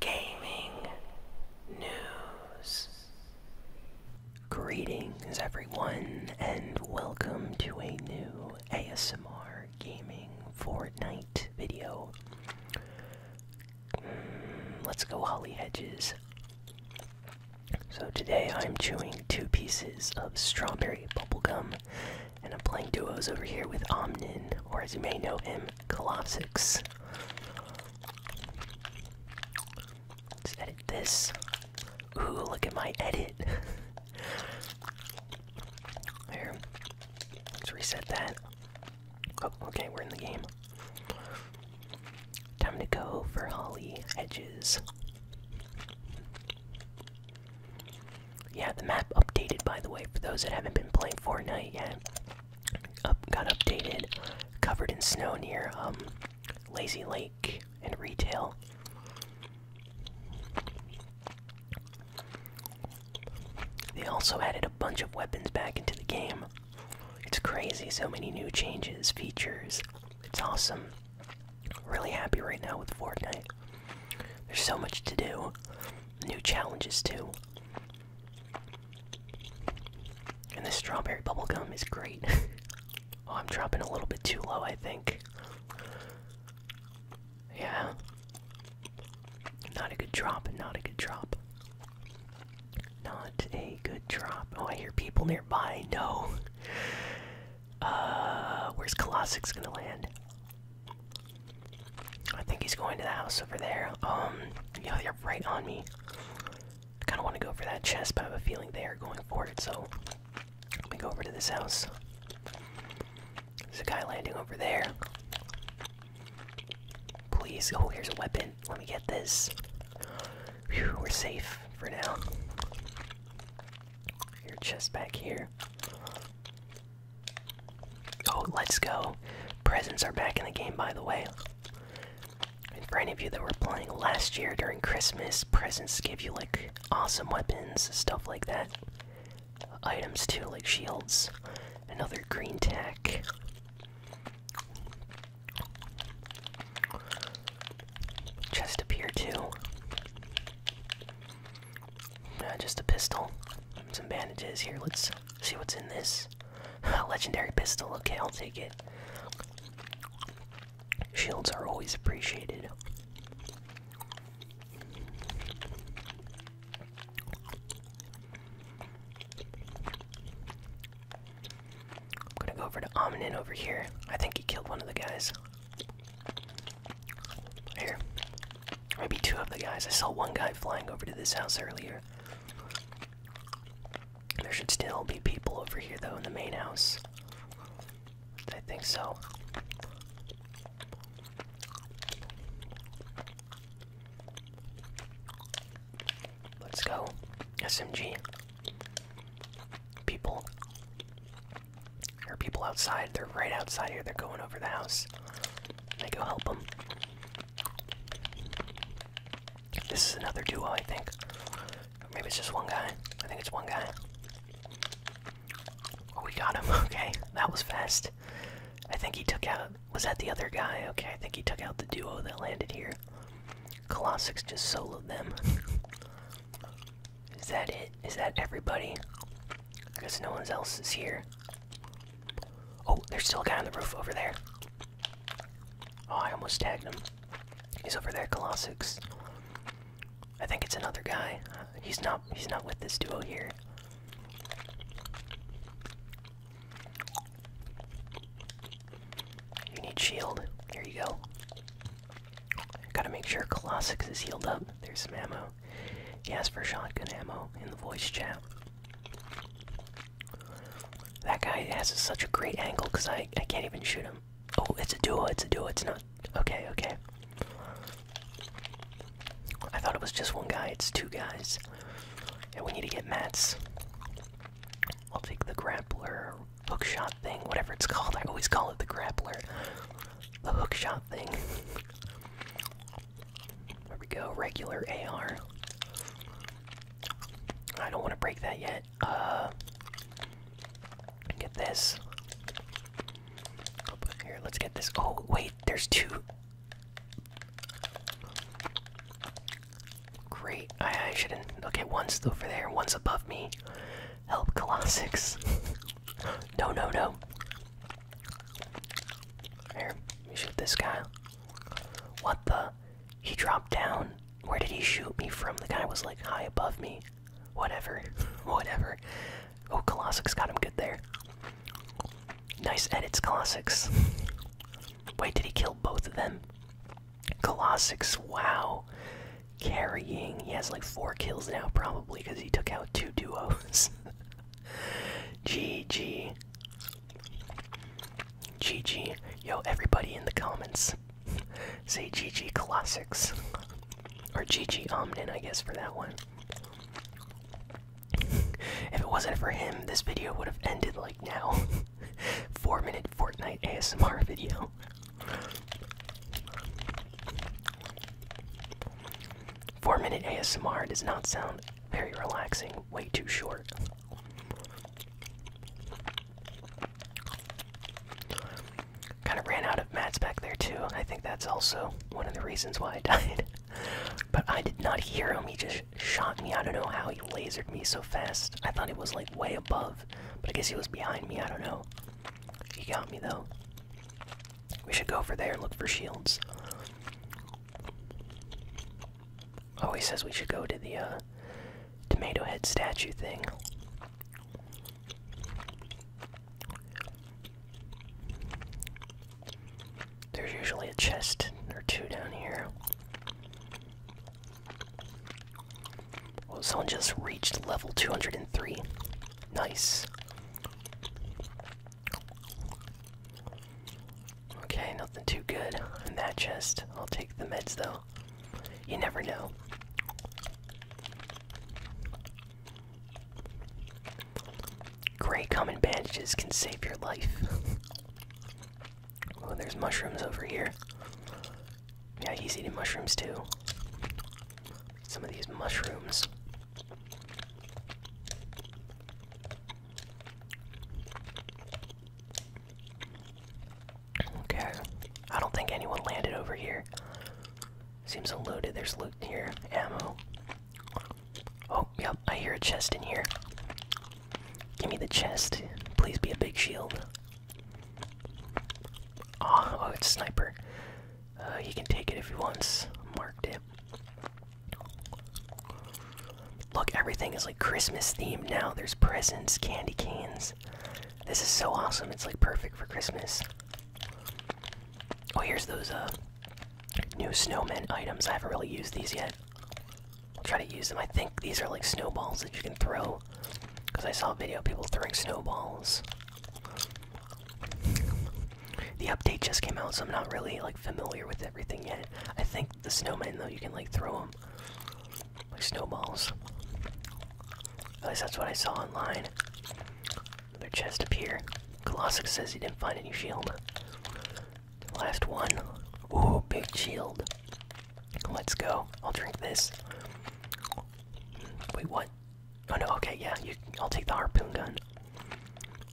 gaming news. Greetings, everyone, and welcome to a new ASMR gaming Fortnite video. Hmm, let's go, Holly Hedges. So, today I'm chewing two pieces of strawberry bubble gum, and I'm playing duos over here with Omnin, or as you may know M Colossus. Let's edit this. Ooh, look at my edit. there. Let's reset that. Oh, okay, we're in the game. Time to go for Holly Edges. Yeah, the map updated by the way, for those that haven't been playing Fortnite yet got updated, covered in snow near um, Lazy Lake and retail. They also added a bunch of weapons back into the game. It's crazy, so many new changes, features. It's awesome. Really happy right now with Fortnite. There's so much to do. New challenges, too. And this strawberry bubblegum is great. oh, I'm dropping a little bit too low, I think. Yeah. Not a good drop, not a good drop. Not a good drop. Oh, I hear people nearby. No. Uh, where's Colossic's gonna land? I think he's going to the house over there. Um, yeah, they are right on me. I kind of want to go for that chest, but I have a feeling they are going for it, so let me go over to this house. There's a guy landing over there. Please, oh, here's a weapon. Let me get this. we're safe for now. Your chest back here. Oh, let's go. Presents are back in the game, by the way. And for any of you that were playing last year during Christmas, presents give you like awesome weapons, stuff like that. Items too, like shields, another green tech. Chest appear too. Uh, just a pistol, some bandages here. Let's see what's in this. Legendary pistol, okay, I'll take it. Shields are always appreciated. I'm gonna go over to Omnin over here. I think he killed one of the guys. Here, Maybe two of the guys. I saw one guy flying over to this house earlier. There should still be people over here, though, in the main house. I think so. Let's go. SMG. People. There are people outside. They're right outside here. They're going over the house. I go help them. This is another duo, I think. maybe it's just one guy. I think it's one guy. Oh, we got him. Okay, that was fast. I think he took out. Was that the other guy? Okay, I think he took out the duo that landed here. Colossus just soloed them. is that it? Is that everybody? Because no one else is here. Oh, there's still a guy on the roof over there. Oh, I almost tagged him. He's over there, Colossus. I think it's another guy. He's not. He's not with this duo here. You need shield. Here you go. Gotta make sure Colossus is healed up. There's some ammo. He asked for shotgun ammo in the voice chat. That guy has such a great angle because I, I can't even shoot him. Oh, it's a duo, it's a duo, it's not. Okay, okay. I thought it was just one guy, it's two guys. And yeah, we need to get mats. I'll take the grappler, hookshot thing, whatever it's called. I always call it the grappler. The hookshot thing. There we go, regular AR. I don't want to break that yet. Uh, get this. here, let's get this. Oh, wait, there's two. Great, I, shouldn't. Okay, one's over there, one's above me. Help, Colossics. no, no, no. Here, shoot this guy. What the? He dropped down. Where did he shoot me from? The guy was like high above me. Whatever. Whatever. Oh, Colossus got him good there. Nice edits, Colossus. Wait, did he kill both of them? Colossus, wow. Carrying. He has like four kills now, probably, because he took out two duos. G G G G. Yo, everybody in the comments. Say G Colossus. or G Omnin, I guess, for that one. if it wasn't for him, this video would have ended like now. Four minute Fortnite ASMR video. Four minute ASMR does not sound very relaxing, way too short. Kind of ran out of mats back there too. I think that's also one of the reasons why I died. but I did not hear him. He just shot me. I don't know how he lasered me so fast. I thought he was like way above, but I guess he was behind me. I don't know. He got me though. We should go over there, and look for shields. Oh, he says we should go to the uh, tomato head statue thing. There's usually a chest or two down here. Well, someone just reached level 203. Nice. Okay, nothing too good in that chest. I'll take the meds though. You never know. Great, common bandages can save your life. oh, there's mushrooms over here. Yeah, he's eating mushrooms too. Some of these mushrooms. Okay. I don't think anyone landed over here. Seems unloaded. There's loot here. Ammo. Oh, yep. I hear a chest in here. Give me the chest. Please be a big shield. Oh, oh it's sniper. You uh, can take it if you want. Marked it. Look, everything is like Christmas themed now. There's presents, candy canes. This is so awesome. It's like perfect for Christmas. Oh, here's those uh new snowman items. I haven't really used these yet. I'll try to use them. I think these are like snowballs that you can throw. Because I saw a video people throwing snowballs. The update just came out, so I'm not really like familiar with everything yet. I think the snowmen though you can like throw them like snowballs. At least that's what I saw online. Another chest up here. says he didn't find any shield. Last one. Ooh, big shield. Let's go. I'll drink this. Wait, what? Oh no, okay, yeah, I'll take the harpoon gun.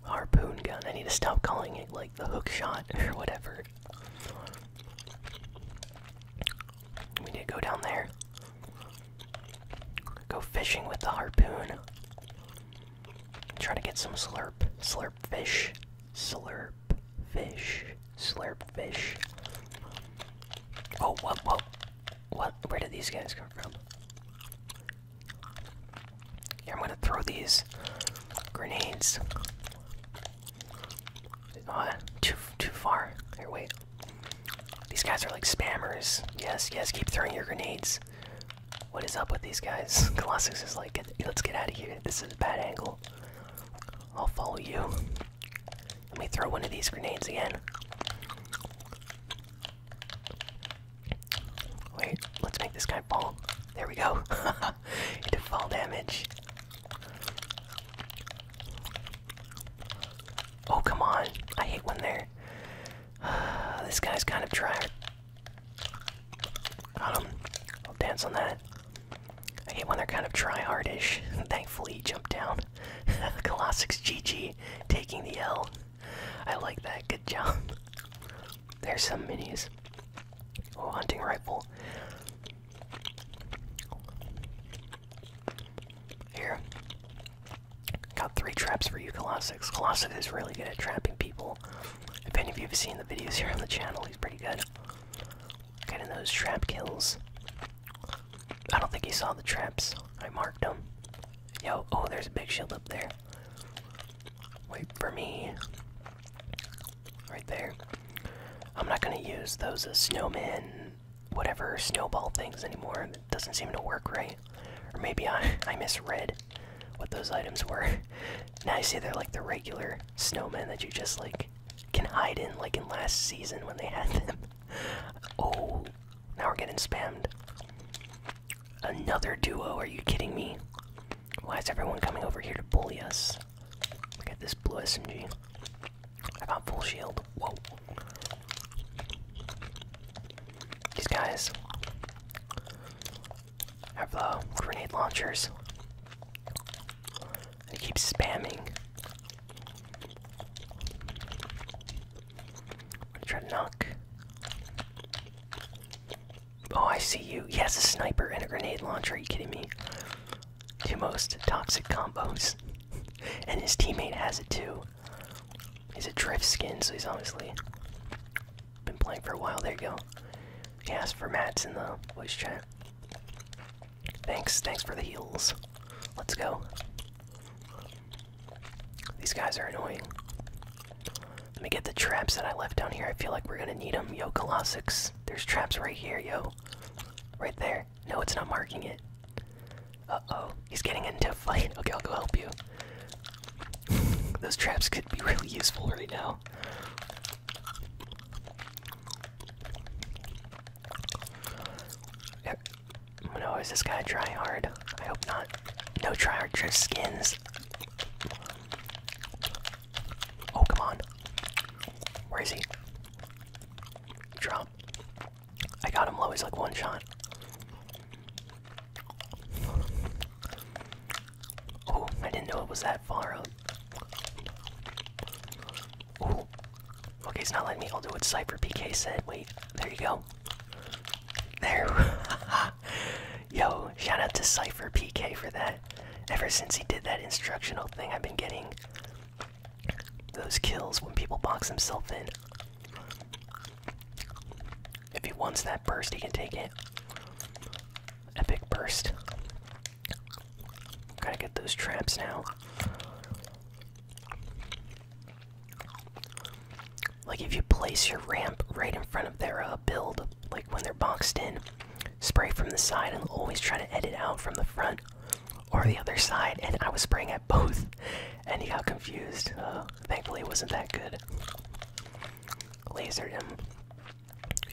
Harpoon gun. I need to stop calling it like the hook shot or whatever. We need to go down there. Go fishing with the harpoon. Try to get some slurp. Slurp fish. Slurp fish. Slurp fish. Oh, what, what? What? Where did these guys come from? I'm gonna throw these grenades. Uh, too too far. Here, wait. These guys are like spammers. Yes, yes. Keep throwing your grenades. What is up with these guys? Colossus is like, let's get out of here. This is a bad angle. I'll follow you. Let me throw one of these grenades again. Wait, let's make this guy fall. There we go. he did fall damage. Oh, come on. I hate when they're. this guy's kind of tried. Got him. I'll dance on that. I hate when they're kind of try-hardish. Thankfully, he jumped down. Colossic's GG, taking the L. I like that. Good job. There's some minis. Oh, hunting rifle. Here. Got three traps for you, Colossus. Colossus is really good at trapping people. If any of you have seen the videos here on the channel, he's pretty good. Getting those trap kills. I don't think he saw the traps. I marked them. Yo, oh, there's a big shield up there. Wait for me. Right there. I'm not gonna use those uh, snowman, whatever snowball things anymore. It doesn't seem to work right. Or maybe I, I misread what those items were. now I see they're like the regular snowmen that you just like can hide in, like in last season when they had them. oh, now we're getting spammed. Another duo, are you kidding me? Why is everyone coming over here to bully us? Look at this blue SMG. I got full shield. Whoa. These guys have the uh, grenade launchers. They keep spamming i to knock. Oh, I see you. He has a sniper and a grenade launcher. Are you kidding me? Two most toxic combos. and his teammate has it too. He's a drift skin, so he's obviously been playing for a while. There you go. He asked for mats in the voice chat. Thanks, thanks for the heals. Let's go. These guys are annoying. Let me get the traps that I left down here. I feel like we're gonna need them. Yo, Colossus. There's traps right here, yo. Right there. No, it's not marking it. Uh-oh. He's getting into a fight. Okay, I'll go help you. Those traps could be really useful right now. No, is this guy try hard? I hope not. No try hard drift skins. Oh come on. Where is he? Drop. I got him low, he's like one shot. Oh, I didn't know it was that far up. Oh. Okay, he's not letting me. I'll do what Cypher PK said. Wait, there you go. There. Yo, shout out to Cypher PK for that. Ever since he did that instructional thing, I've been getting those kills when people box themselves in. If he wants that burst, he can take it. Epic burst. Gotta get those traps now. Like if you place your ramp right in front of their uh, build, like when they're boxed in, spray from the side and always try to edit out from the front or the other side. And I was spraying at both, and he got confused. Uh, thankfully, it wasn't that good. Lasered him.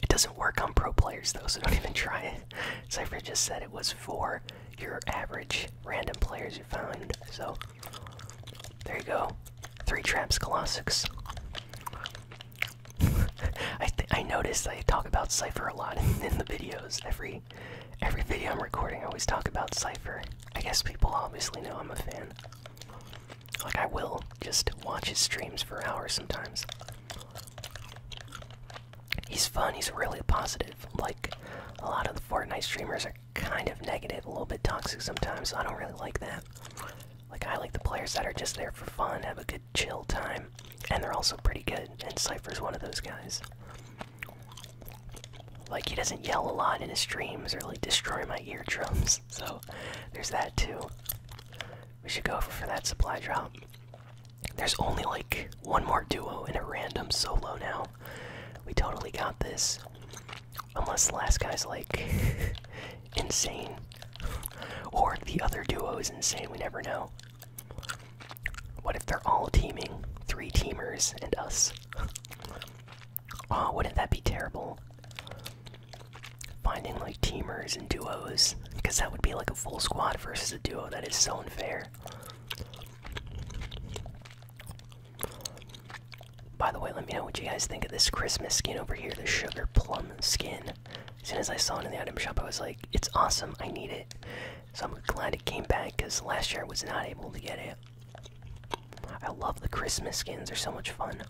It doesn't work on pro players though, so don't even try it. Cypher just said it was for your average random players you find. So there you go. Three traps, Colossus. I I noticed I talk about Cipher a lot in, in the videos. Every every video I'm recording, I always talk about Cipher. I guess people obviously know I'm a fan. Like I will just watch his streams for hours sometimes. He's fun. He's really positive. Like a lot of the Fortnite streamers are kind of negative, a little bit toxic sometimes. I don't really like that. Like I like the players that are just there for fun, have a good chill time, and they're also pretty good. And Cypher's one of those guys. Like he doesn't yell a lot in his streams or like destroy my eardrums. So there's that too. We should go for that supply drop. There's only like one more duo and a random solo now. We totally got this. Unless the last guy's like insane. Or the other duo is insane, we never know. What if they're all teaming? Three teamers and us. oh, wouldn't that be terrible? Finding like teamers and duos. Because that would be like a full squad versus a duo. That is so unfair. By the way, let me know what you guys think of this Christmas skin over here, the sugar plum skin. As soon as I saw it in the item shop, I was like, it's awesome, I need it. So I'm glad it came back because last year I was not able to get it. I love the Christmas skins, they're so much fun.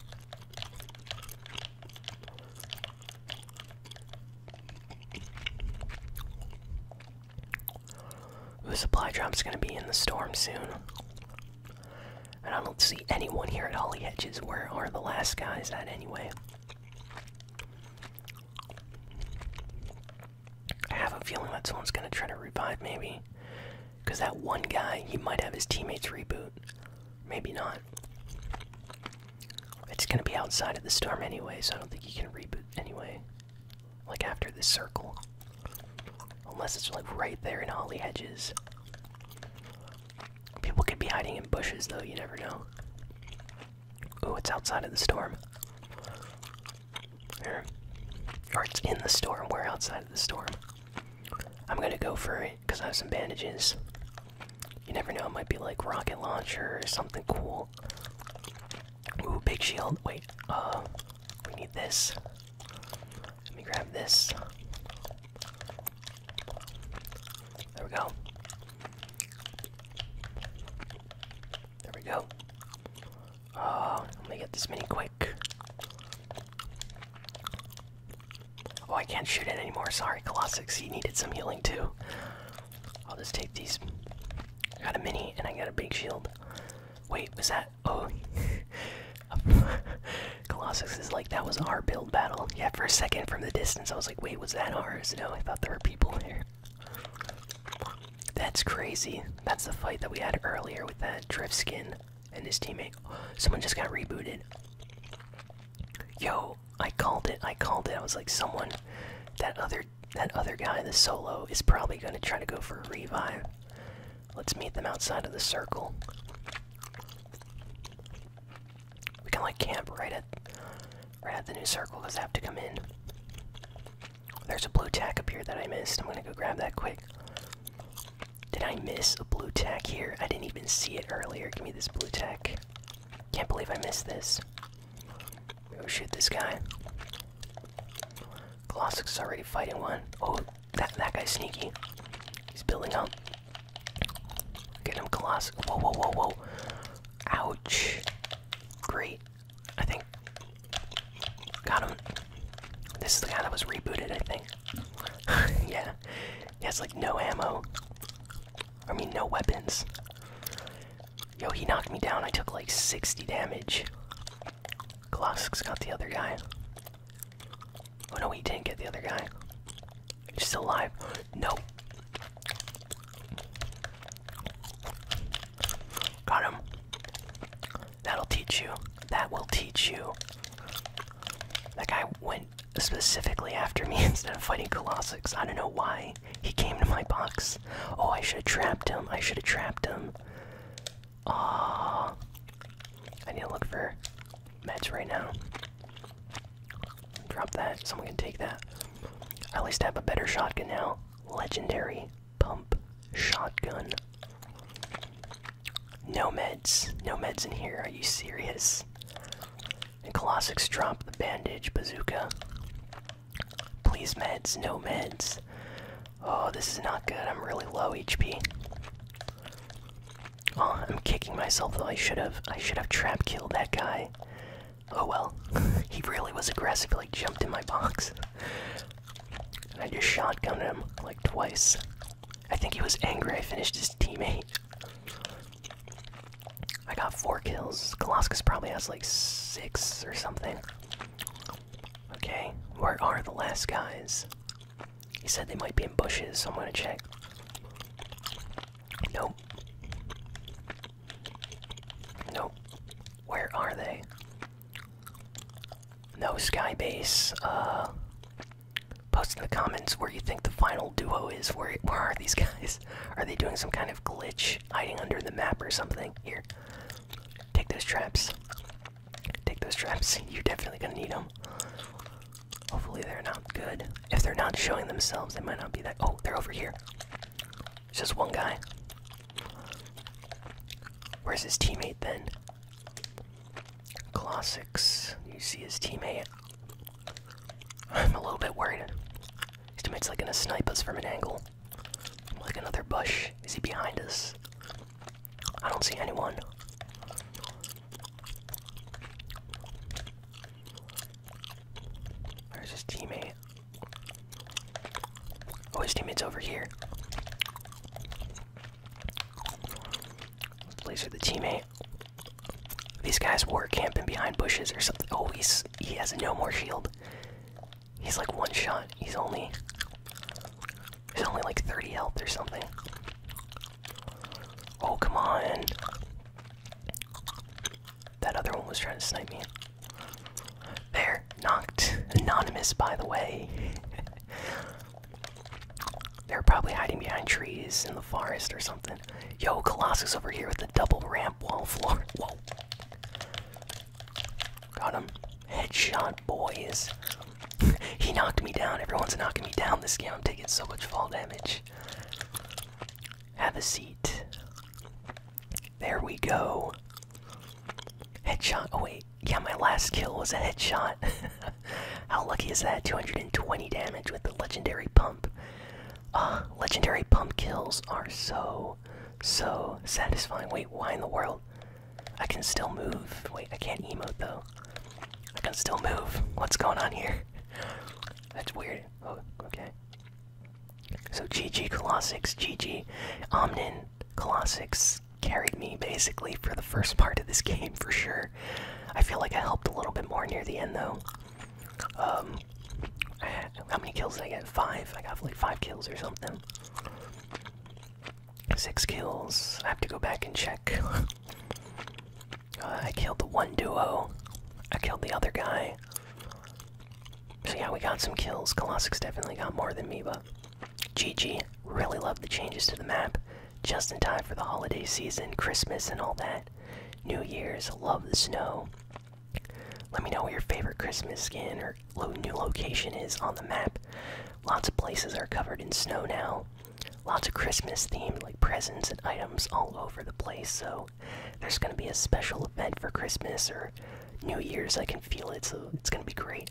The supply drop's gonna be in the storm soon. And I don't see anyone here at Hollyhedges. Hedges. Where are the last guys at anyway? I have a feeling that someone's gonna try to revive, maybe. Because that one guy, he might have his teammates reboot. Maybe not. It's gonna be outside of the storm anyway, so I don't think he can reboot anyway. Like after this circle. Unless it's like right there in Holly Hedges. People could be hiding in bushes though, you never know. Oh, it's outside of the storm. Or, or it's in the storm, we're outside of the storm. I'm gonna go for it, because I have some bandages. You never know, it might be like rocket launcher or something cool. Ooh, big shield. Wait, uh, we need this. Let me grab this. There we go. There we go. Uh, let me get this mini quick. Oh, I can't shoot it anymore. Sorry, Colossus. He needed some healing too. I'll just take these. I got a mini and I got a big shield. Wait, was that? Oh, Colossus is like that was our build battle. Yeah, for a second from the distance, I was like, wait, was that ours? No, I thought there were people there. That's crazy. That's the fight that we had earlier with that drift skin and his teammate. Someone just got rebooted. Yo, I called it. I called it. I was like, someone, that other that other guy, the solo, is probably going to try to go for a revive. Let's meet them outside of the circle. We can like camp right at right at the new circle because have to come in. There's a blue tack up here that I missed. I'm gonna go grab that quick. Did I miss a blue tack here? I didn't even see it earlier. Give me this blue tack. Can't believe I missed this. Oh shoot, this guy. Colossus already fighting one. Oh, that that guy's sneaky. He's building up. Get him, Colossus. Whoa, whoa, whoa, whoa. Ouch. Great. I think. Got him. This is the guy that was rebooted, I think. yeah. He has like no ammo. I mean, no weapons. Yo, he knocked me down. I took like 60 damage. Colossus got the other guy. Oh no, he didn't get the other guy. He's still alive. No. Got him. That'll teach you. That will teach you. That guy went specifically after me instead of fighting Colossus. I don't know why. He came to my box. Oh, I should have trapped him. I should have trapped him. Ah, I need to look for meds right now. Drop that. Someone can take that. at least have a better shotgun now. Legendary pump shotgun. No meds. No meds in here. Are you serious? And Colossus dropped the bandage bazooka. Please, meds. No meds. Oh, this is not good. I'm really low HP. Oh, I'm kicking myself though. I should have. I should have trap killed that guy. Oh well. he really was aggressive. Like jumped in my box. And I just shotgunned him like twice. I think he was angry. I finished his teammate. I got four kills. Colossus probably has like six or something. Okay, where are the last guys? He said they might be in bushes, so I'm gonna check. Nope. Nope. Where are they? No Skybase. Uh, post in the comments where you think the final duo is. Where, where are these guys? Are they doing some kind of glitch? hiding under the map or something. Here, take those traps. Take those traps. You're definitely gonna need them. Hopefully they're not good. If they're not showing themselves, they might not be that. Oh, they're over here. just one guy. Where's his teammate then? Classics. You see his teammate. I'm a little bit worried. His teammate's like gonna snipe us from an angle. Like another bush. Is he behind us? I don't see anyone. Where's his teammate? Oh, his teammate's over here. Let's laser the teammate. These guys were camping behind bushes or something. Oh, he's, he has no more shield. He's like one shot. He's only he's only like 30 health or something. Oh come on. That other one was trying to snipe me. There, knocked. Anonymous, by the way. They're probably hiding behind trees in the forest or something. Yo, Colossus over here with the double ramp wall floor. Got him. Headshot, boys. he knocked me down. Everyone's knocking me down this game. I'm taking so much fall damage. Have a seat. There we go. Headshot. Oh, wait. Yeah, my last kill was a headshot. How lucky is that? 220 damage with the legendary pump. Uh, legendary pump kills are so so, satisfying. Wait, why in the world? I can still move. Wait, I can't emote though. I can still move. What's going on here? That's weird. Oh, okay. So GG Colossix, GG Omnin Colossix carried me basically for the first part of this game for sure. I feel like I helped a little bit more near the end though. Um, how many kills did I get? Five. I got like five kills or something. Six kills. I have to go back and check. Uh, I killed the one duo. I killed the other guy. So yeah, we got some kills. Colossus definitely got more than me, but GG. Really love the changes to the map. Just in time for the holiday season, Christmas and all that. New Year's. Love the snow. Let me know what your favorite Christmas skin or new location is on the map. Lots of places are covered in snow now. Lots of Christmas themed like presents and items all over the place. So there's going to be a special event for Christmas or New Year's. I can feel it, so it's going to be great.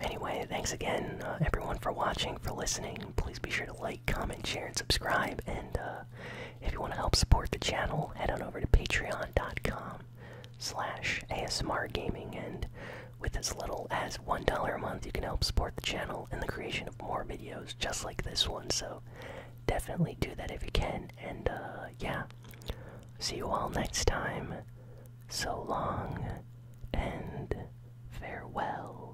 Anyway, thanks again, uh, everyone, for watching, for listening. Please be sure to like comment, share, and subscribe. And uh, if you want to help support the channel, head on over to patreon.com slash ASMR Gaming. And with as little as $1 a month, you can help support the channel and the creation of more videos just like this one. So definitely do that if you can. And uh, yeah, see you all next time. So long and farewell.